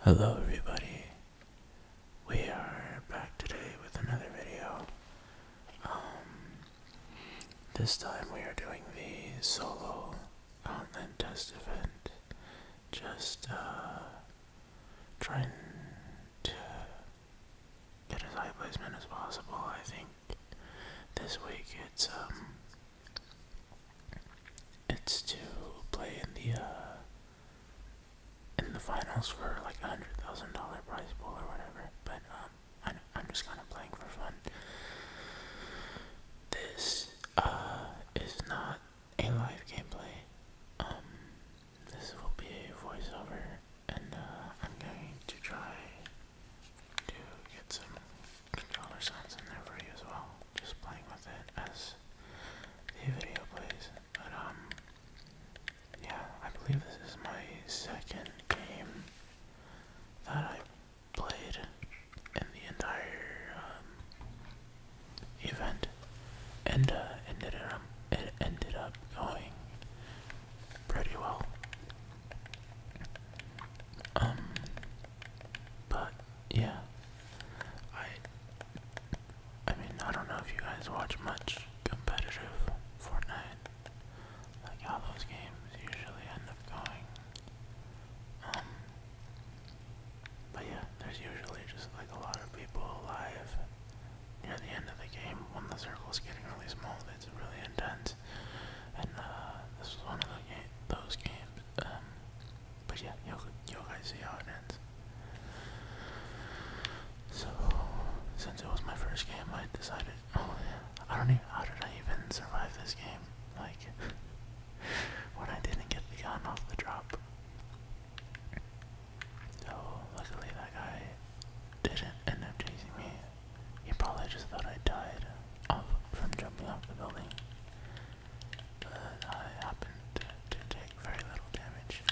Hello everybody, we are back today with another video. Um, this time we are doing the solo outland test event. Just uh, trying to get as high placement as possible. I think this week it's um, it's to play in the uh, in the finals for like a hundred thousand dollar prize pool or whatever. But um, I'm, I'm just kind of playing for fun. This uh is not a live gameplay. Um, this will be a voiceover, and uh, I'm going to try to get some controller sounds in there for you as well. Just playing with it as the video plays. But um yeah, I believe this is my second game that I played in the entire um, event, and uh, ended up, it ended up going pretty well. Um, but yeah. I I mean I don't know if you guys watch much competitive Fortnite. Like how those games usually end up going. Um, but yeah, there's usually just like a lot of people alive near the end of the game when the circle is getting really small. It's really intense, and uh, this was one of those games. Um, but yeah, you'll guys see how it ends. So since it was my first game, I decided. Oh, I don't even. How did I even survive this game? Like when I didn't get the gun off the drop. So luckily that guy didn't end up chasing me. He probably just thought I died off from jumping off the building but I happen to, take very little damage.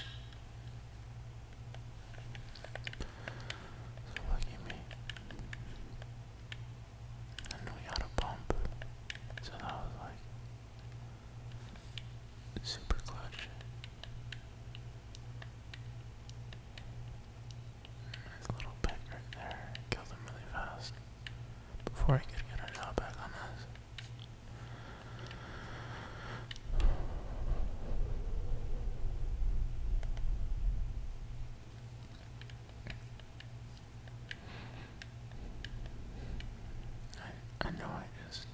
So lucky me. And we got a bump, so that was like super clutch. Nice little pet right there, killed him really fast before I could get our job back on us. I, I know I just,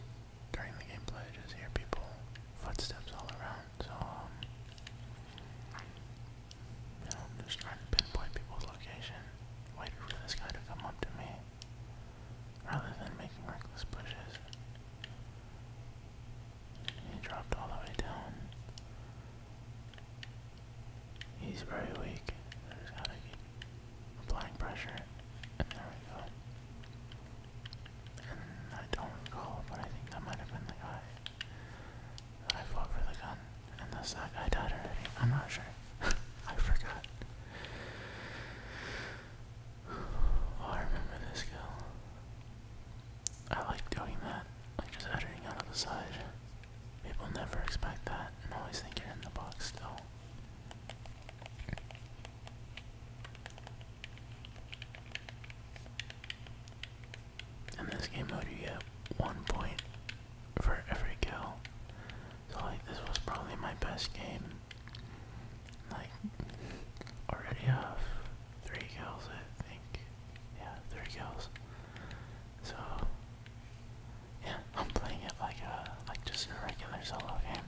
during the gameplay, just hear people, footsteps all around, so, um, I'm just trying to pinpoint people's location, waiting for this guy to come up to me, rather than making reckless pushes. He dropped all the way down. He's very weak. I just gotta keep applying pressure. And there we go. And I don't recall, but I think that might have been the guy. I fought for the gun, unless that guy died already. I'm not sure. I forgot. I remember this skill. I like doing that, like just editing out of the side. People never expect that and always think you're in the box still. In this game mode, you get one point for every kill. So like this was probably my best game. Like already have three kills I think. Yeah, three kills. So yeah, I'm playing it like a like just a regular solo game.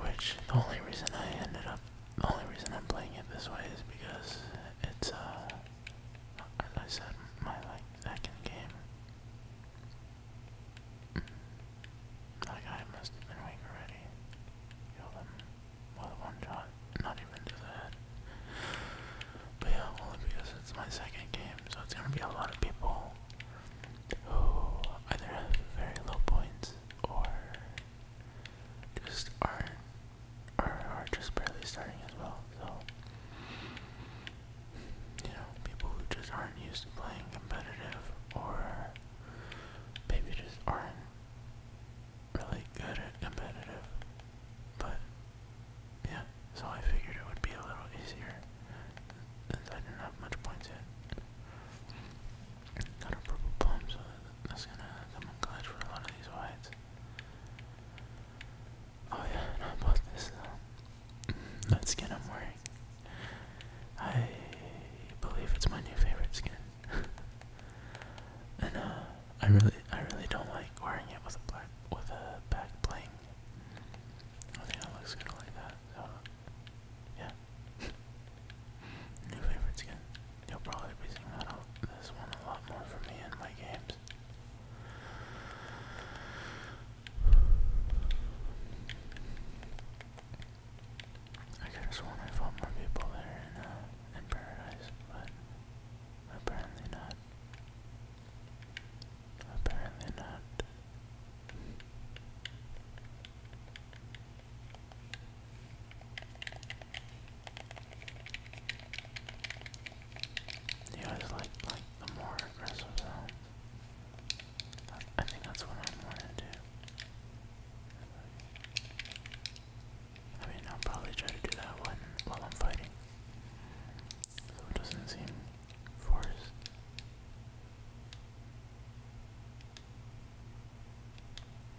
Which the only reason I ended up the only reason I'm playing it this way is because it's a. Uh, as I said, my like second game. Mm. That guy must have been weak already. Killed him with one shot, not even to that. But yeah, only because it's my second game, so it's gonna be a lot of people who either have very low points or just are not are just barely starting as well. So you know, people who just aren't used to playing competitive or maybe just aren't really good at competitive. But yeah, so I figured it would be a little easier since I didn't have much points yet. Got a purple palm, so that's gonna, I'm glad for a lot of these whites. Oh yeah, no, I this uh, that skin I'm wearing. I believe it's my new favorite skin. and uh I really I really don't like wearing it with a black with a back bling. I think it looks good like that, so yeah. new favorite skin. You'll probably be seeing that on this one a lot more for me in my games. I could have sworn I fought more people there in, uh, in paradise, but apparently not. Apparently not. You guys like like the more aggressive sounds. I think that's what I'm gonna do. I mean, I'll probably try to do that one while I'm fighting, so it doesn't seem forced.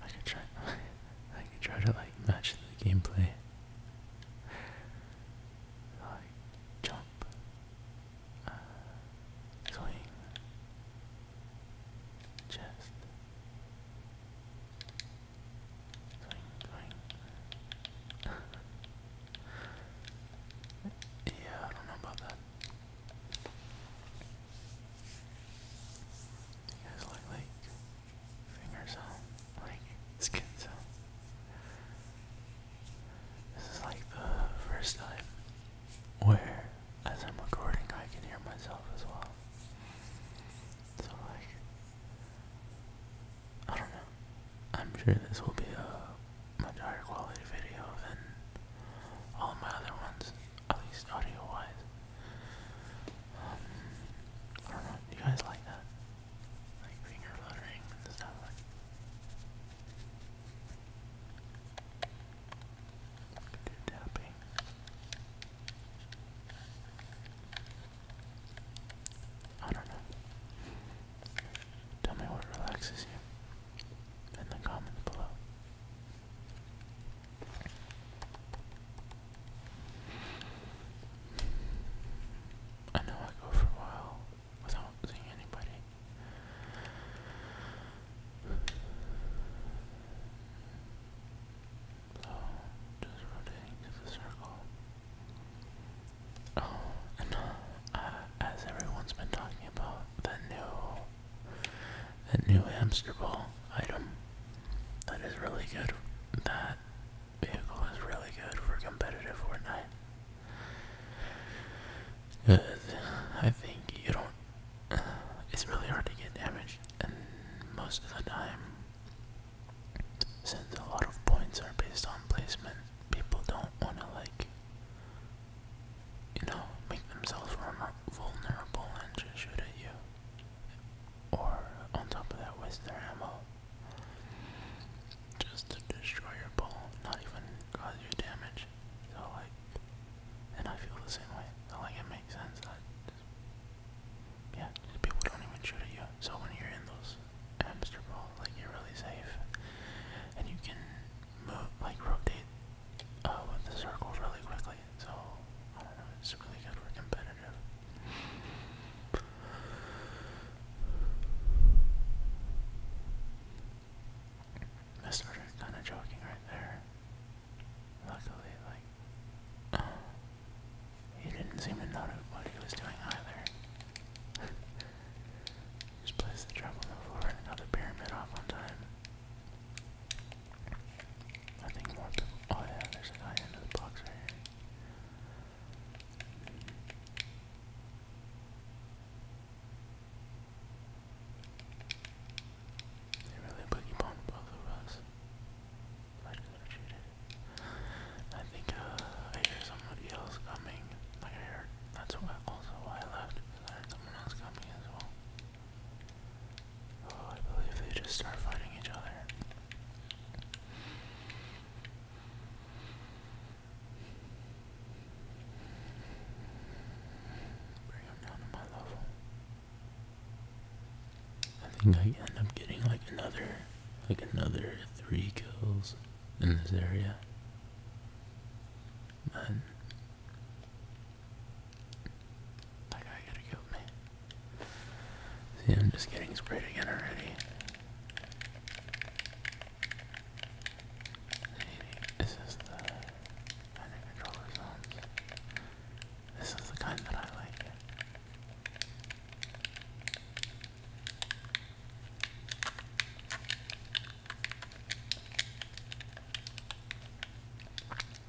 I could try I could try to like match the gameplay. Like jump uh, swing chest swing swing Yeah, I don't know about that. You guys like fingers like skins out. This is like the first time where, as I'm recording, I can hear myself as well. So, like, I don't know. I'm sure this will be a much higher quality video than all my other ones at least audio wise. Um, I don't know, you guys like that? Like finger fluttering and stuff like do tapping. I don't know. Tell me what relaxes you in the comments below. I know I go for a while without seeing anybody. So, just rotating to the circle. Oh, and uh, as everyone's been talking about the new that new hamster ball item. That is really good. That vehicle is really good for competitive Fortnite. Good. I think you don't. It's really hard to get damaged, and most of the time, since a lot of points are based on placement, people don't want to, like, you know, make themselves vulnerable and just shoot at you. Or on top of that was their ammo. Just to destroy your ball, not even cause you damage. So like and I feel the same way. So like it makes sense that yeah, people don't even shoot at you. So when you're in those hamster balls, like you're really safe. And you can move like rotate uh, with the circle really quickly. So I don't know, it's really good for competitive. I started kind of joking right there. Luckily, like, he didn't seem to notice what he was doing either. Just place the trap on the floor and another pyramid off on time. I think more people. Oh, yeah, there's a guy into the box right here. They really boogie bombed both of us. I could think uh, I hear somebody else coming. Like I heard, that's why also why I left I heard someone else coming as well. Oh, I believe they just start fighting each other. Bring them down to my level. I think I end up getting like another, like another three kills in this area. Man, that guy could have killed me. See, I'm just getting sprayed again already. This is the kind controller sounds. This is the kind that I like.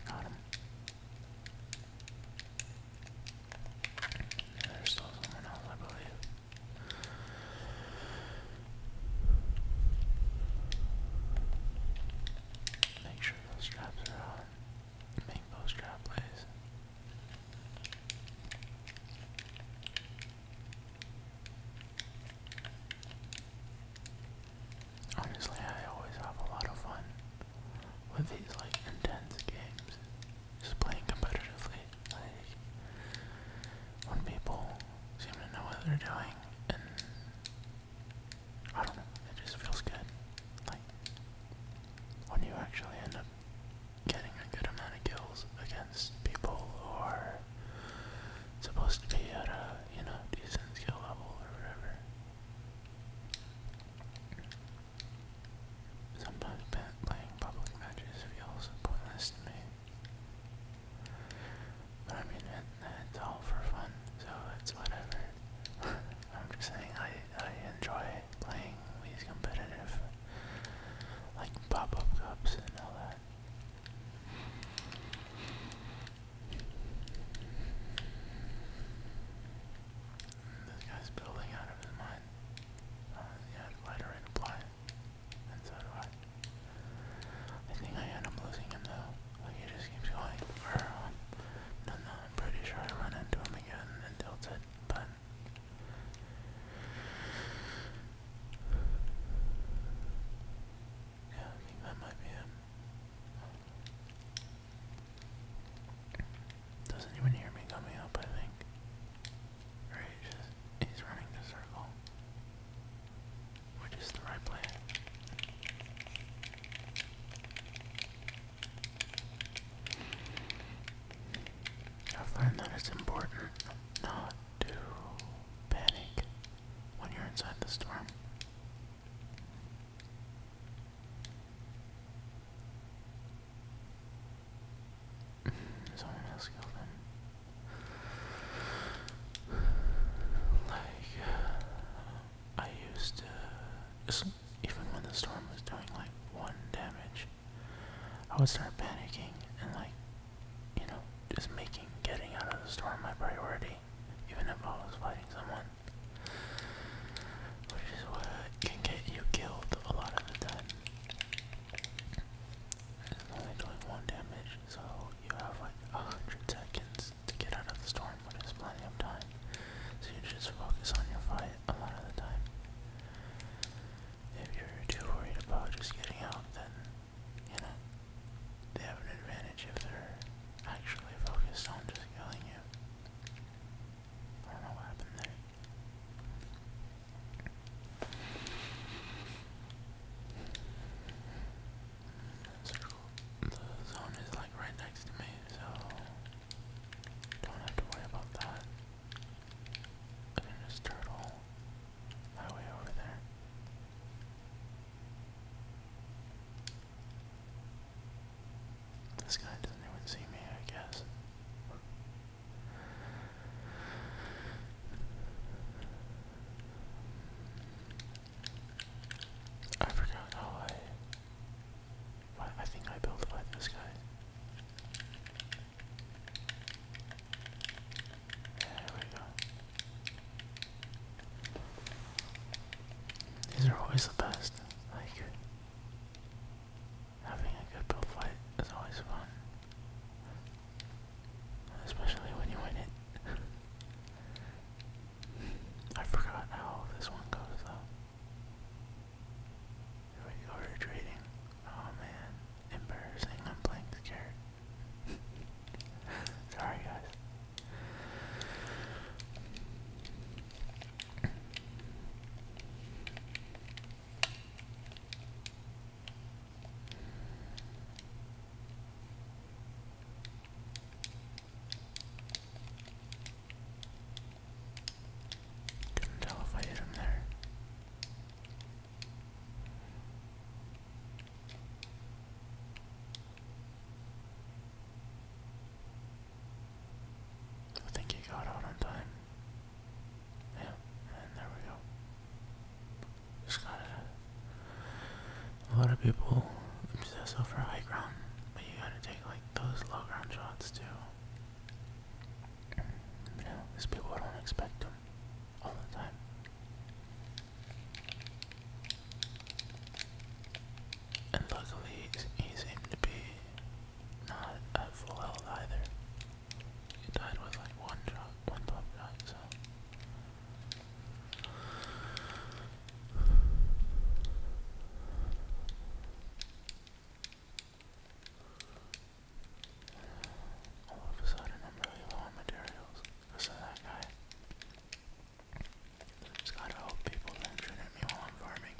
Got him. There's still someone else, I believe. Make sure those straps are on. Make those strap plays. Honestly, I always have a lot of fun with these like intense games. Just playing competitively. Like when people seem to know what they're doing and I don't know, it just feels good. Like when you actually end up getting a good amount of kills against people or supposed to be at a, you know, decent skill level or whatever. Sometimes playing public matches feels pointless to me. But I mean, it, all for fun, so it's whatever. I'm just saying, I, I enjoy playing these competitive, like pop up cups and all that. This guy's building out of his mind. yeah, uh, lighter and apply it. And so do I. I think I end up losing him though. he just keeps going. Um, no, no, I'm pretty sure I run into him again and tilt it, but. Yeah, I think that might be him. Doesn't hear me coming up, I think. Or he's running the circle. Which is the right plan. I find that it's important not to panic when you're inside the storm. Someone else killed him. Like, I used to, even when the storm was doing like one damage, I would start panicking and like, you know, just making getting out of the storm my priority even if I was fighting someone. Which is what can get you killed a lot of the time. It's only doing one damage, so you have like a hundred seconds to get out of the storm, which is plenty of time. So you just focus on your fight a lot of the time. If you're too worried about just getting out, then you know, they have an advantage if they're actually focused on just killing you. I don't know what happened there. circle, the zone is like right next to me, so don't have to worry about that. I can just turtle highway over there. This guy doesn't even see me, I guess. I forgot how I. Well, I think I built by this guy. There we go. These are always the best. Like having a good build fight is always fun. Especially when you win it. I forgot how this one goes though. Here we go, trading. Oh man, embarrassing. I'm scared. Sorry, guys. Couldn't tell if I hit him there. I think he got out on time. Yeah, and there we go. Just gotta. A lot of people obsess over high ground, but you gotta take like those low ground shots too. You know, because people don't expect them all the time. And luckily, he seemed to be not at full health either. He died with like one drop, one pop shot, so. All of a sudden, I'm really low on materials. Listen that guy. It's gotta help people that shouldn't at me while I'm farming.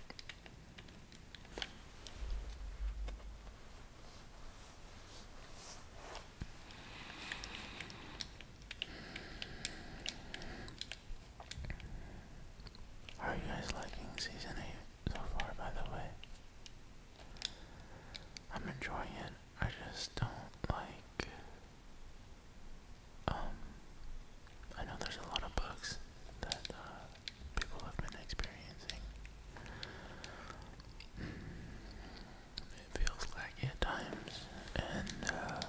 are you guys liking season 8 so far, by the way? I'm enjoying it. I just don't like. Um, I know there's a lot of bugs that uh, people have been experiencing. It feels laggy at times, and uh,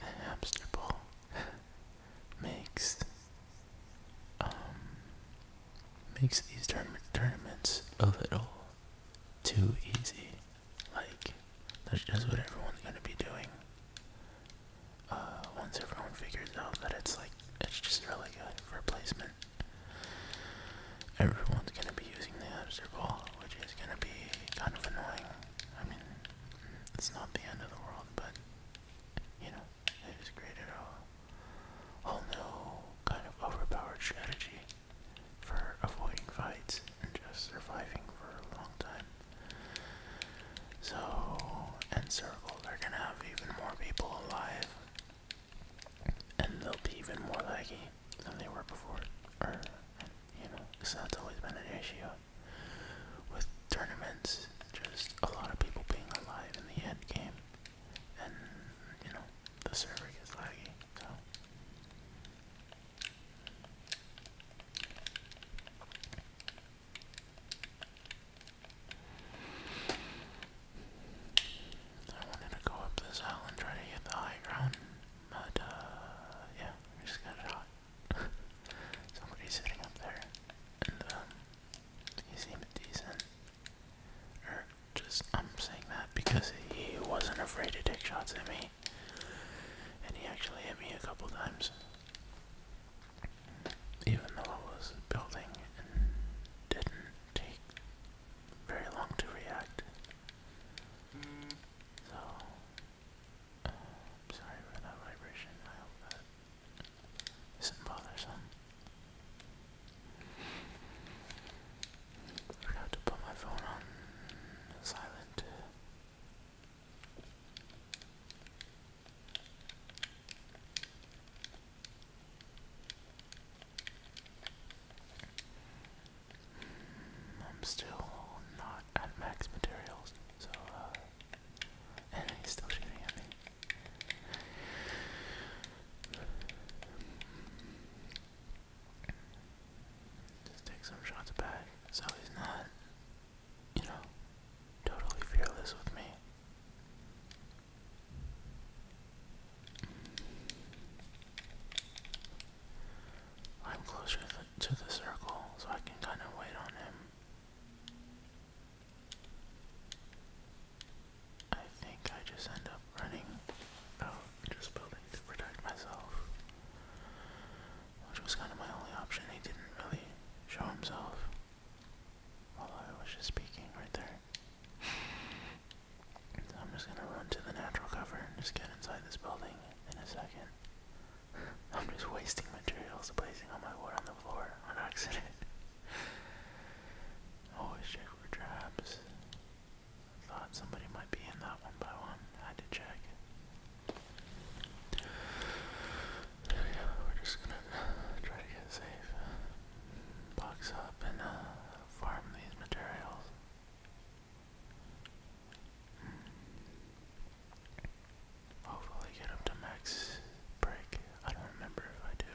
the hamster ball makes um makes these tournaments a little too easy. Like, that's just what everyone's gonna be doing. Uh, once everyone figures out that it's like, it's just really good for placement, everyone's gonna be using the hamster ball, which is gonna be kind of annoying. I mean, it's not the end of the world, but you know, it is great at all. Whole new kind of overpowered strategy for avoiding fights and just surviving for a long time. So, in Circle, they're gonna have even more people alive, and they'll be even more laggy than they were before. Or, you know, because that's always been an issue with tournaments, just a lot of people being alive in the end game and you know the server gets laggy. I wanted to go up this hill and try to get the high ground, but uh, yeah, I just got shot. Somebody's sitting up there, um, he seemed decent just, I'm saying that because he wasn't afraid to take shots at me. And he actually hit me a couple times. Even though I was building and didn't take very long to react. So, uh, sorry for that vibration. I hope that isn't bothersome. I forgot to put my phone on silent. I'm still not at max materials, so, uh, and he's still shooting at me. Just take some shots back so he's not, you know, totally fearless with me. I'm closer to the circle, so I can kind of wait on him. I think I just end up running out just building to protect myself. Which was kind of my only option. He didn't really show himself while I was just speaking right there. I'm just gonna run to the natural cover and just get inside this building in a second. I'm just wasting materials placing all my wood on the floor on accident. Always check for traps. thought somebody might be in that one by one. Um, had to check. we are just gonna try to get safe. Box up and uh, farm these materials. Hopefully get up to max break. I don't remember if I do.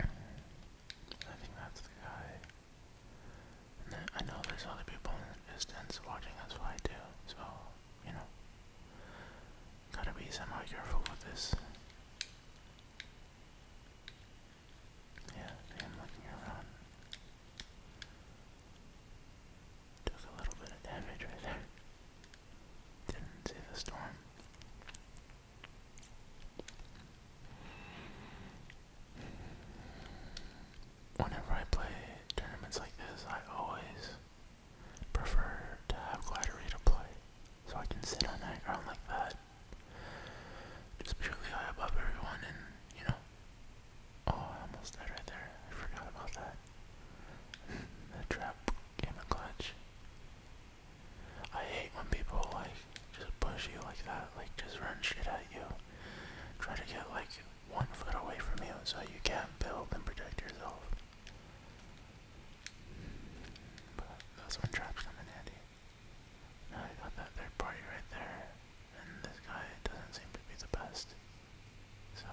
I think that's the guy. I know there's other people in the distance watching us fly too, so, you know. Gotta be somewhat careful with this. Yeah, I am looking around. Took a little bit of damage right there. Didn't see the storm. Whenever I play tournaments like this, I always prefer to have Gladiator play. So I can sit on that ground like that just purely high above everyone and, you know. Oh, I almost died right there. I forgot about that. that trap came in clutch. I hate when people, like, just push you like that. Like, just run shit at you. Try to get, like, one foot away from you so you can't build and protect yourself. But that's when traps come in handy. I got that third party right there, and this guy doesn't seem to be the best. So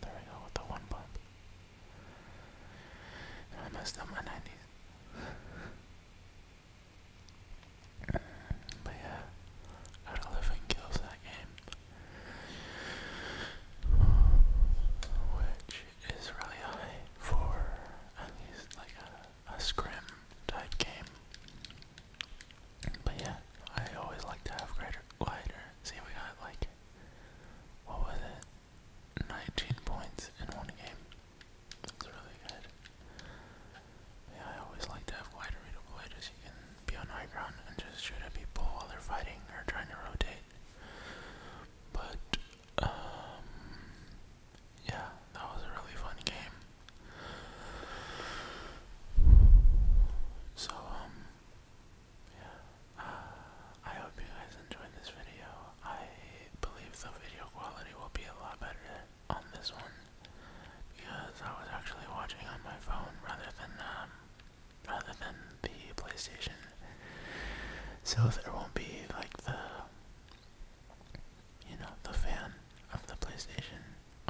there we go with the one bump. I messed up my 90s. but yeah, gotta live kills that game. Which is really high for at least like a a scrim type game. But yeah, I always like to have greater lighter. See, we got like what was it? 19 points in one game. That's really good. Yeah, I always like to have wider readable lighters. You can be on high ground and just shoot at people while they're fighting or trying to rotate. But um, yeah, that was a really fun game. So, um, yeah, I hope you guys enjoyed this video. I believe the video quality will be a lot better on this one because I was actually watching on my phone rather than, um, rather than the PlayStation. So there won't be like the you know, the fan of the PlayStation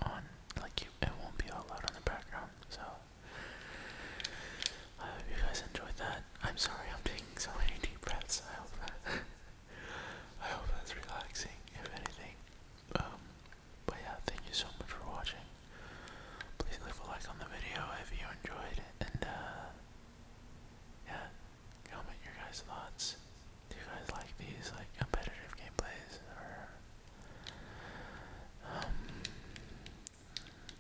on. Like you, it won't be all loud on the background. So I hope you guys enjoyed that. I'm sorry I'm taking so many deep breaths. I hope I hope that's relaxing, if anything. Um, but yeah, thank you so much for watching. Please leave a like on the video if you enjoyed, and uh, yeah, Comment your guys' thoughts. Do you guys like these like competitive gameplays or um,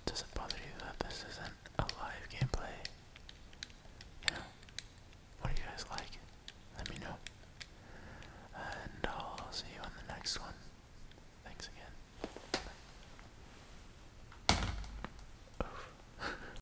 does it bother you that this isn't a live gameplay? You What do you guys like? Let me know. And I'll see you on the next one. Thanks again. Oof.